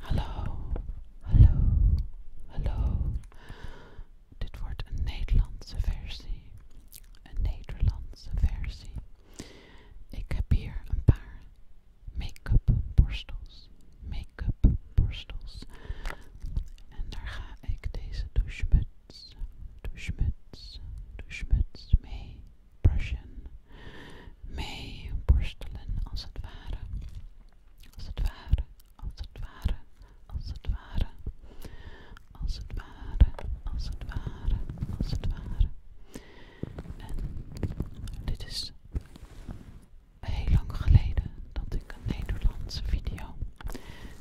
Hallo, hallo, hallo. Dit wordt een Nederlandse versie. Een Nederlandse versie. Ik heb hier een paar make-up borstels. Make-up borstels. En daar ga ik deze douchemuts, douchemuts, douchemuts mee brushen. mee borstelen als het ware. Als het ware, als het ware, als het ware. Als het ware, als het ware, als het ware. En dit is heel lang geleden dat ik een Nederlandse video,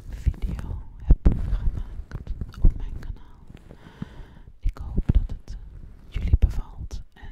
video heb gemaakt op mijn kanaal. Ik hoop dat het jullie bevalt en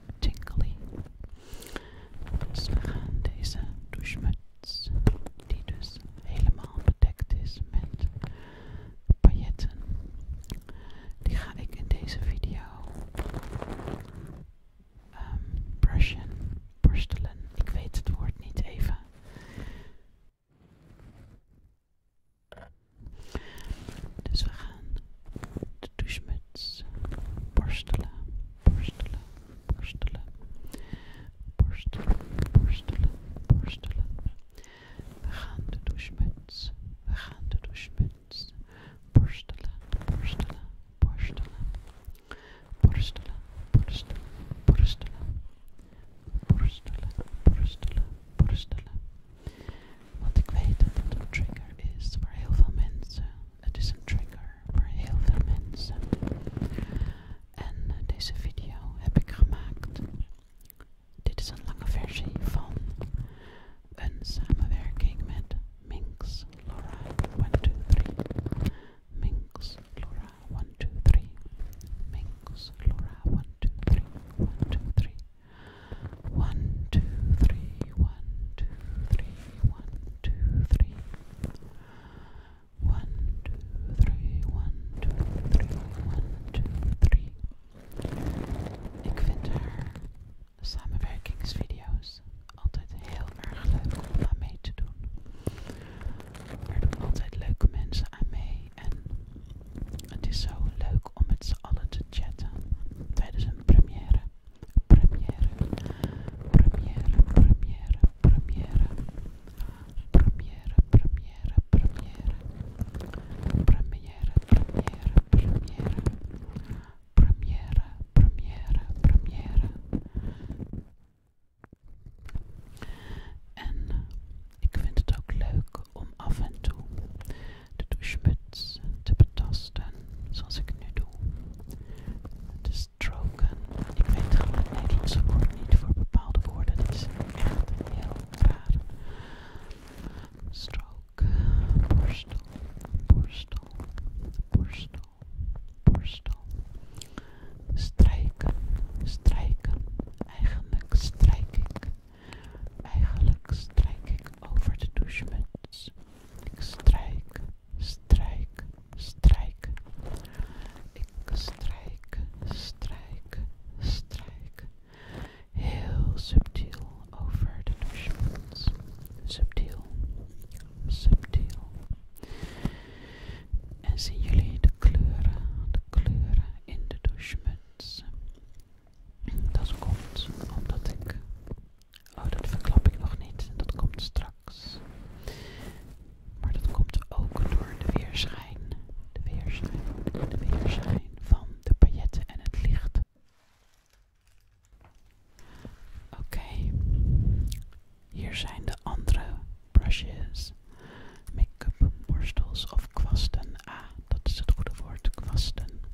tinkly. Dus we gaan deze douchemuts, die dus helemaal bedekt is met pailletten, die ga ik in deze video ehm, brushen, borstelen. Ik weet het woord niet even. Dus we gaan de douchemuts borstelen, borstelen, borstelen, borstelen, borstelen, borstelen. We gaan de douchemuts, we gaan de douchemuts borstelen, borstelen, borstelen, borstelen, borstelen, borstelen, borstelen, borstelen, borstelen. motivated little trigger is voor heel veel mensen. Het is een trigger voor heel veel mensen. En deze video heb ik gemaakt. Dit is een lange versie van een samenwerking met Minx Laura 123. Minx Laura 123. Minx Laura 123. 123. One, two, three, one, two, three, one, two, three. One, two, three, one, two, three, Ik vind haar samenwerkingsvideo's altijd heel erg leuk om aan mee te doen. Er doen altijd leuke mensen aan mee en het is zo leuk om met z'n allen te chatten tijdens een première. Première, première, première, première, première, première, première, première, première, première, première, première, première. En ik vind het ook leuk om af en toe de douchemuts te betasten, zoals ik nu doe, te stroken. Ik weet gewoon Nederlandse woord niet voor bepaalde woorden, Het is echt heel raar. stroken, borstel, borstel, borstel, borstel. Strijken, strijken, eigenlijk strijk ik. Eigenlijk strijk ik over de douchemuts. Ik strijk, strijk, strijk. Ik strijk, strijk, strijk. Heel subtiel over de douchemuts. Subtiel, subtiel. En zien jullie de kleuren, de kleuren in de douchemuts? Dat komt omdat ik. Oh, dat verklap ik nog niet. Dat komt straks. Maar dat komt ook door de weerschijn. De weerschijn. De weerschijn van de pailletten en het licht. Oké. Hier zijn de andere brushes. Make-up borstels of kwasten. Ah, dat is het goede woord. Kwasten.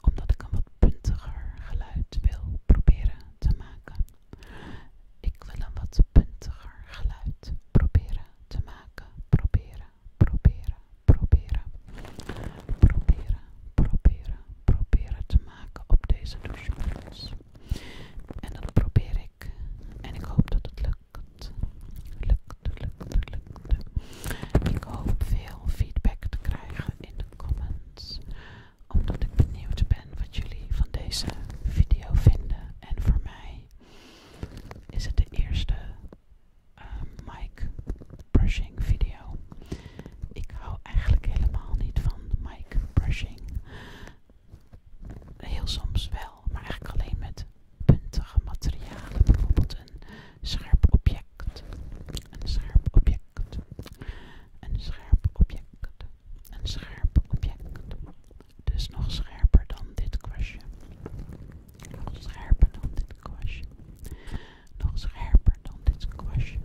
omdat ik een wat puntiger geluid wil proberen te maken. Ik wil een wat puntiger geluid proberen te maken. Proberen, proberen, proberen. Proberen, proberen, proberen te maken op deze douchebrils. En dat probeer ik. En ik hoop dat het lukt. Lukt, lukt, lukt. Ik hoop veel feedback te krijgen in de comments, omdat ik benieuwd ben wat jullie van deze video vinden. En voor mij is het de eerste uh, mic brushing video. Ik hou eigenlijk helemaal niet van mic brushing. Heel soms wel, maar eigenlijk alleen met puntige materialen. Bijvoorbeeld een scherp object een scherp object, een scherp object, een scherp object. Dus nog scherper dan dit kwastje. Nog scherper dan dit kwastje. Nog scherper dan dit kwastje.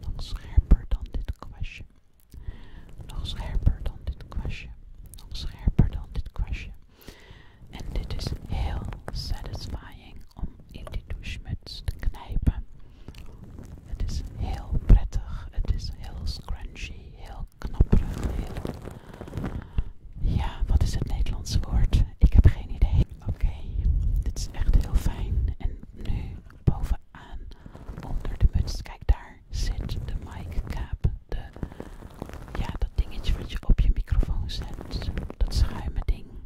Nog scherper dan dit kwastje. Nog scherper dan dit kwastje. Nog scherper dan dit kwastje. En dit is heel satisfying om in die douchemuts te knijpen. Het is heel prettig, het is heel scrunchy, heel knapperig. Ja, wat is het Nederlandse woord? Ik heb geen idee. Oké, dit is echt heel fijn. En nu bovenaan, onder de muts, kijk daar zit de mic cap. De, ja, dat dingetje wat je op je microfoon zet. Dat schuime ding.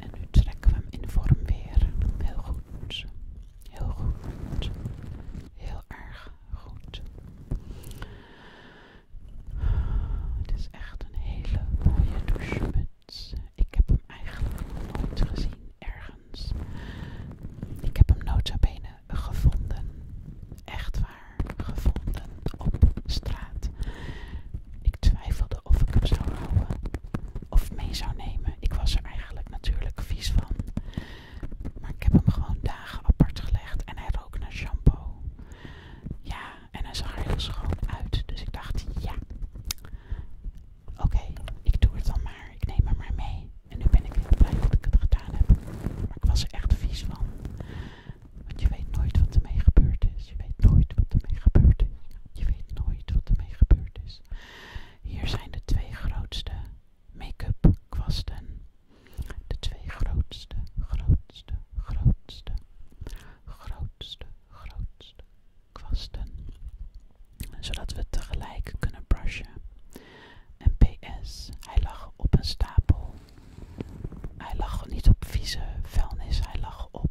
en nu trekken we hem in vorm weer. Heel goed. Heel goed. Heel erg goed. Het is echt een hele mooie douchemuts. Ik heb hem eigenlijk nooit gezien ergens. Ik heb hem nota bene gevonden. Echt waar. Gevonden op straat. Ik twijfelde of ik hem zou houden of mee zou nemen. Ik was er eigenlijk natuurlijk vies van. Maar ik heb hem gewoon dagen apart gelegd en hij rook naar shampoo. Ja, en hij zag er heel schoon uit. Dus ik dacht, ja. Oké, ik doe het dan maar. Ik neem hem maar mee. En nu ben ik heel blij dat ik het gedaan heb. Maar ik was er echt vies van. Want je weet nooit wat er mee gebeurd is. Je weet nooit wat er mee gebeurd is. Je weet nooit wat er mee gebeurd is. Hier zijn de twee grootste make-up kwasten. De twee grootste, grootste, grootste, grootste, grootste kwasten. Zodat we tegelijk kunnen brushen. En PS, hij lag op een stapel. Hij lag niet op vieze vuilnis, hij lag op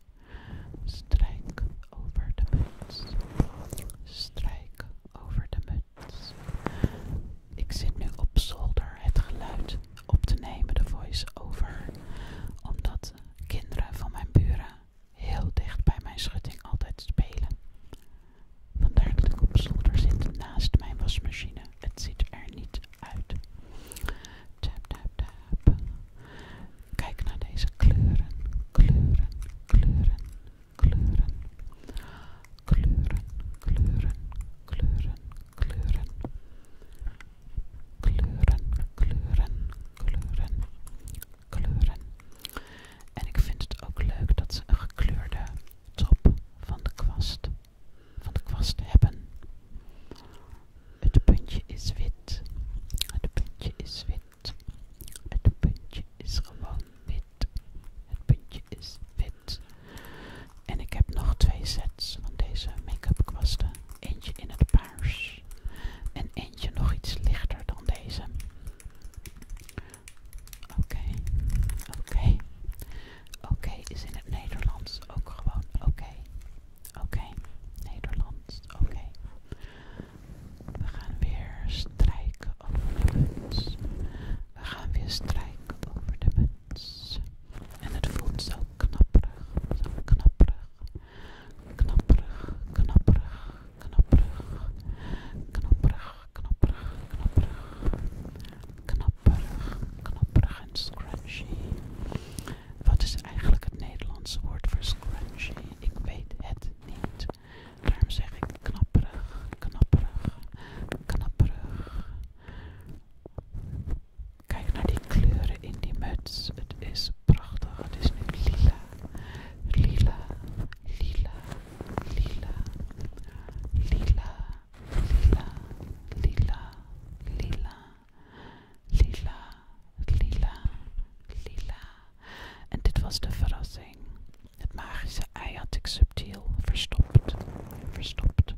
Strijk over de muts. Strijk over de muts. Ik zit nu op zolder het geluid op te nemen, de voice-over. Omdat kinderen van mijn buren heel dicht bij mijn schutting altijd spelen. Vandaar dat ik op zolder zit naast mijn wasmachine. Het ziet er niet uit tap, tap, Kijk naar deze kleuren, kleuren, kleuren, kleuren, kleuren, kleuren, kleuren, kleuren, kleuren, kleuren, kleuren, kleuren. En ik vind het ook leuk dat ze een gekleurde top van de kwast, van de kwast hebben. Het puntje is wit. Het puntje is wit. Het puntje is gewoon wit. Het puntje is wit. En ik heb nog twee sets van deze make-up kwasten. Eentje in het paars. En eentje nog iets lichter dan deze. Oké. Oké. Oké is in het Nederlands ook gewoon oké. Oké, Nederland. Oké. We gaan weer strijken over de muts. We gaan weer strijken over de muts. En het voelt zo knapperig, zo knapperig. Knapperig, knapperig, knapperig. Knapperig, knapperig, knapperig. Knapperig, knapperig en scratchy. Wat is eigenlijk het Nederlandse woord voor scrunchie? Ik weet het niet. Daarom zeg ik knapperig, knapperig, knapperig. Kijk naar die kleuren in die muts. Het is prachtig. Het is nu lila, lila, lila, lila, lila, lila, lila, lila lila, lila, lila. En dit was de verrassing. Het magische ei had ik subtiel verstopt, verstopt.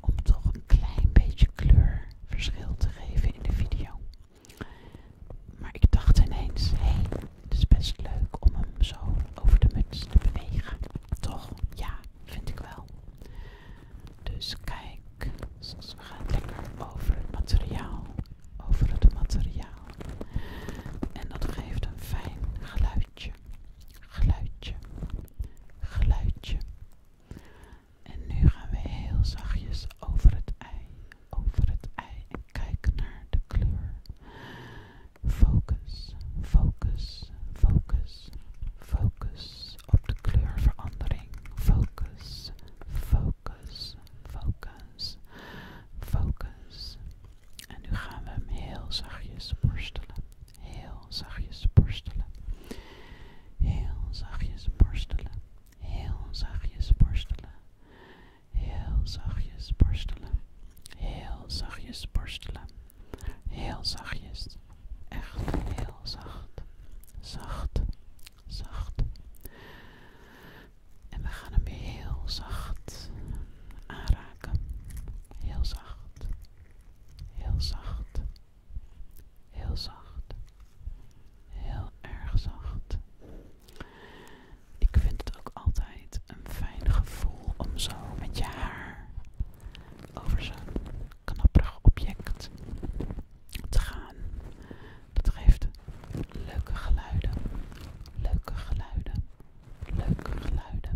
Om toch een klein beetje kleurverschil te geven in de video. Maar ik dacht ineens, hé, het is best leuk om hem zo over de muts te bewegen. Toch? Ja, vind ik wel. Dus kijk, we gaan lekker over het materiaal, over het materiaal. En dat geeft een fijn geluidje, geluidje, geluidje. En nu gaan we heel zachtjes over het ei, over het ei en kijk naar de kleur. Focus, focus, focus, focus op de kleurverandering. Focus, focus, focus, focus. En nu gaan we hem heel zachtjes borstelen. Heel zachtjes borstelen. Heel zachtjes borstelen. Heel zachtjes borstelen. Heel zachtjes borstelen. Heel zachtjes borstelen. Heel zachtjes. Echt heel zacht. Zacht zacht. En we gaan hem weer heel zacht aanraken. Heel zacht. Heel zacht. Heel zacht. Heel erg zacht. Ik vind het ook altijd een fijn gevoel om zo met je haar over zo'n knapperig object te gaan. Dat geeft leuke geluiden, leuke geluiden, leuke geluiden,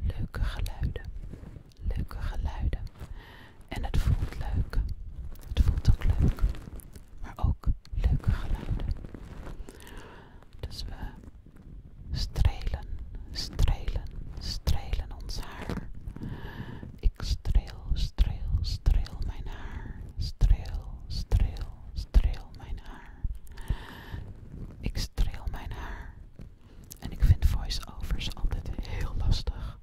leuke geluiden, leuke geluiden. En het voelt leuk. Het voelt ook leuk, maar ook leuke geluiden. Dus we strelen, strelen, strelen ons haar. Ik streel, streel, streel mijn haar. Streel, streel, streel mijn haar. Ik streel mijn haar. En ik vind voiceovers altijd heel lastig.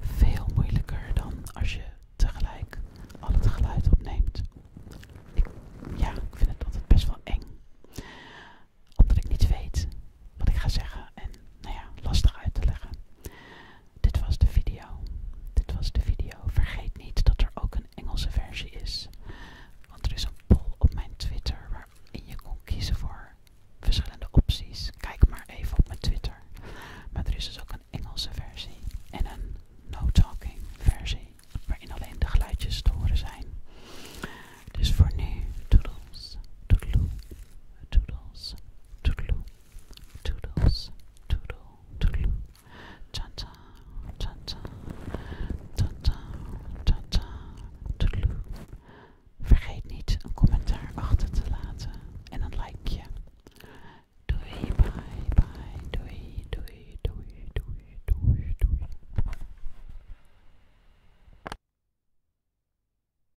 Veel moeilijker dan als je tegelijk al het geluid opneemt. ja, ik vind het altijd best wel eng. Omdat ik niet weet wat ik ga zeggen en nou ja, lastig uit te leggen. Dit was de video. Dit was de video. Vergeet niet dat er ook een Engelse versie is. Want er is een poll op mijn Twitter waarin je kon kiezen voor verschillende opties. Kijk maar even op mijn Twitter. Maar er is dus ook een Engelse versie en een no-talking versie waarin alleen de geluidjes te horen zijn. Dus voor nu, doodles, doodloe. Toodles, toodle, toodles, toodle, toodle. Tata, tanta, tata, tata, toodle. Vergeet niet een commentaar achter te laten en een likeje. Doei, bye, bye, doei, doei, doei, doei, doei, doei.